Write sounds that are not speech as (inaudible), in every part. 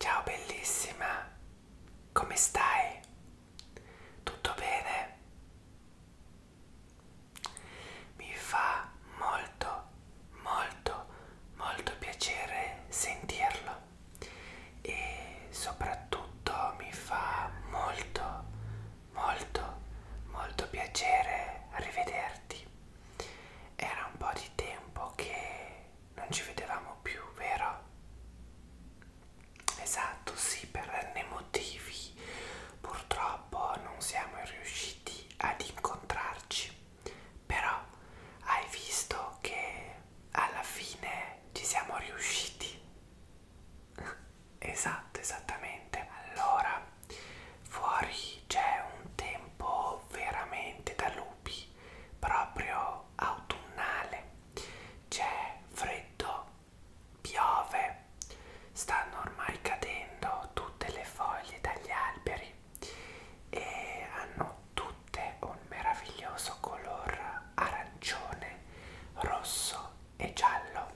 Ciao bellissima, come stai? Tutto bene? Mi fa molto, molto, molto piacere sentirlo e soprattutto mi fa molto, molto, molto piacere rivederti. Era un po' di tempo che non ci vedevamo più, vero? Esatto, sì, per n motivi. Purtroppo non siamo riusciti ad incontrarci. Però hai visto che alla fine ci siamo riusciti. (laughs) Esatto, esattamente. Allora, fuori c'è un tempo veramente da lungo nubi proprio autunnale c'è freddo piove stanno ormai cadendo tutte le foglie dagli alberi e hanno tutte un meraviglioso color arancione rosso e giallo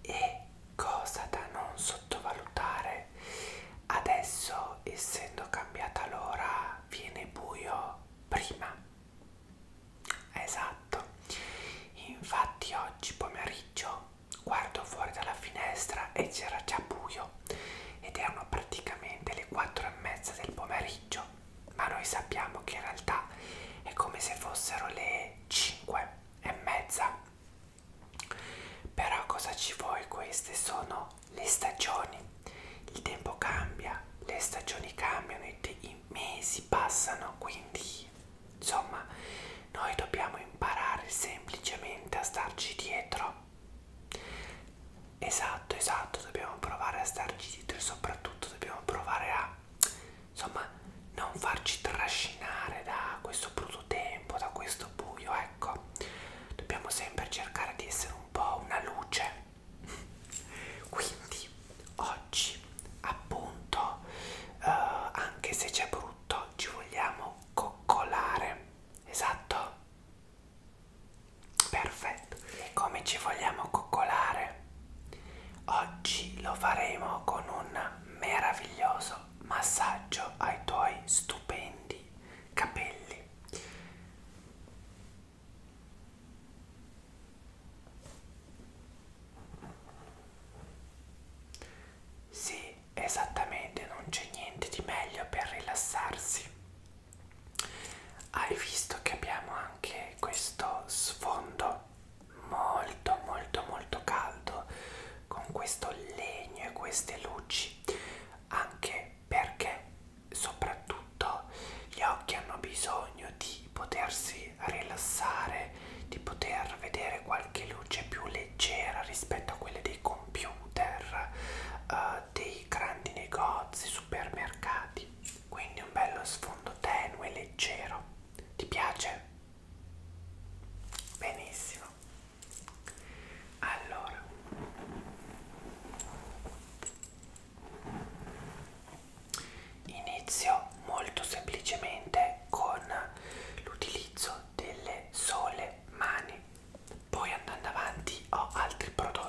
e cosa da non sottovalutare notte adesso essendo cambiata l'ora viene buio prima esatto infatti oggi pomeriggio guardo fuori dalla finestra e c'era già buio ed erano praticamente le quattro e mezza del pomeriggio ma noi sappiamo che in realtà è come se fossero le 5 e mezza però cosa ci vuoi? Queste sono le stagioni. Il tempo cambia, le stagioni cambiano, i, i mesi passano, quindi insomma noi dobbiamo imparare semplicemente a starci dietro. Esatto, esatto, dobbiamo provare a starci dietro e soprattutto dobbiamo provare a insomma non farci trascinare da questo brutto tempo, da questo buio, ecco ecco dobbiamo sempre cercare di essere un po' una luce quindi oggi appunto eh, anche se c'è brutto ci vogliamo coccolare esatto perfetto e come ci vogliamo coccolare oggi lo faremo con un meraviglioso massaggio ai tuoi stupendi capelli sì esattamente non c'è niente di meglio per rilassarsi hai visto che abbiamo anche questo sfondo molto molto molto caldo con questo legno e queste luci anche perché soprattutto gli occhi hanno bisogno di potersi rilassare, di poter vedere qualche luce più leggera rispetto a quelle dei computer, uh, dei grandi negozi, supermercati. Quindi un bello sfondo tenue, leggero. Ti piace? Benissimo allora inizio molto semplicemente con l'utilizzo delle sole mani poi andando avanti ho altri prodotti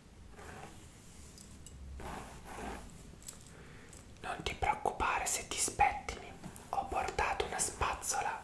Non ti preoccupare se ti spettini, ho portato una spazzola.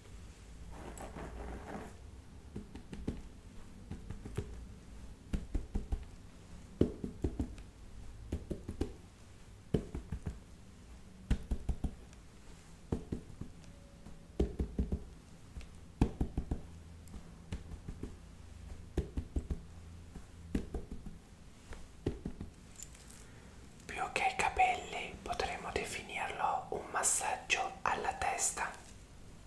Più che i capelli potremmo definirlo un massaggio alla testa.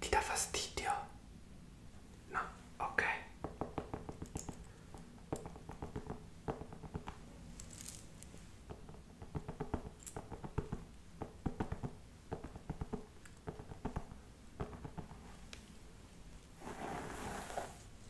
Ti dà fastidio? No, ok.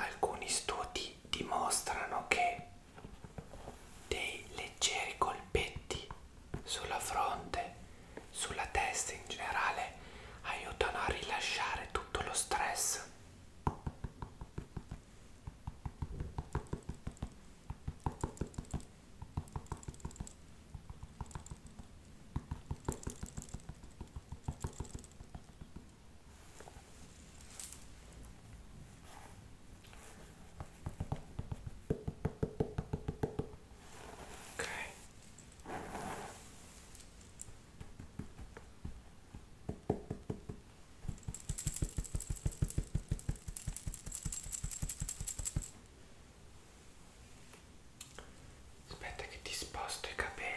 Alcuni studi dimostrano che dei leggeri colpetti sulla fronte, sulla testa in generale, aiutano a rilasciare tutto lo stress ok aspetta che ti sposto i capelli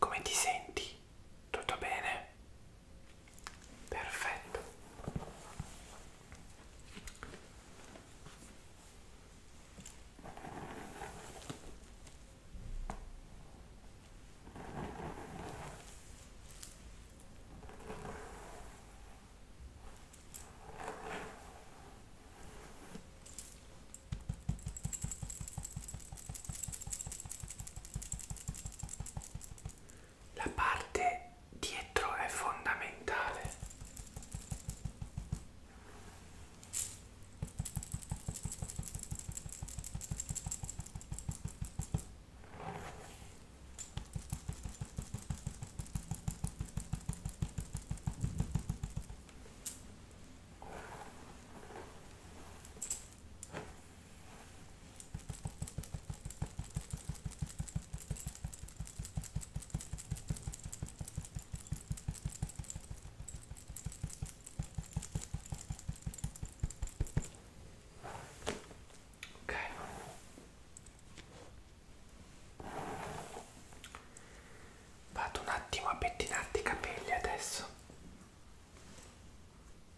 Come ti senti? Tutto bene? Perfetto la parte dietro è fondamentale Ok. Vado un attimo a pettinarti i capelli adesso.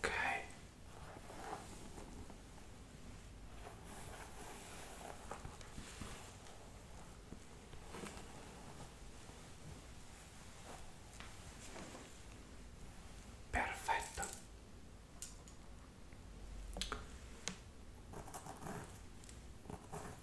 ok perfetto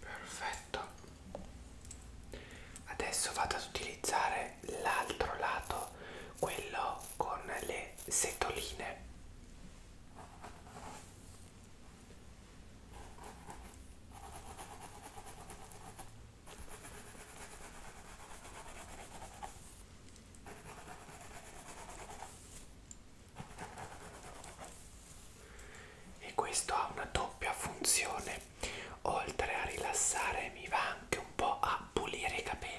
perfetto adesso vado ad utilizzare l'altro lato quello con le setoline e questo ha una doppia funzione oltre a rilassare mi va anche un po' a pulire i capelli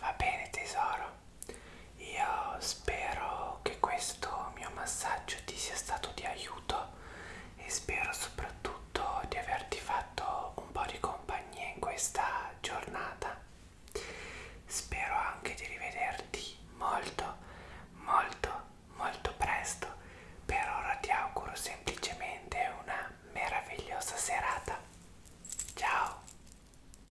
Va bene tesoro, io spero che questo mio massaggio ti sia stato di aiuto e spero soprattutto di averti fatto un po' di compagnia in questa giornata spero anche di rivederti molto molto molto presto per ora ti auguro semplicemente una meravigliosa serata ciao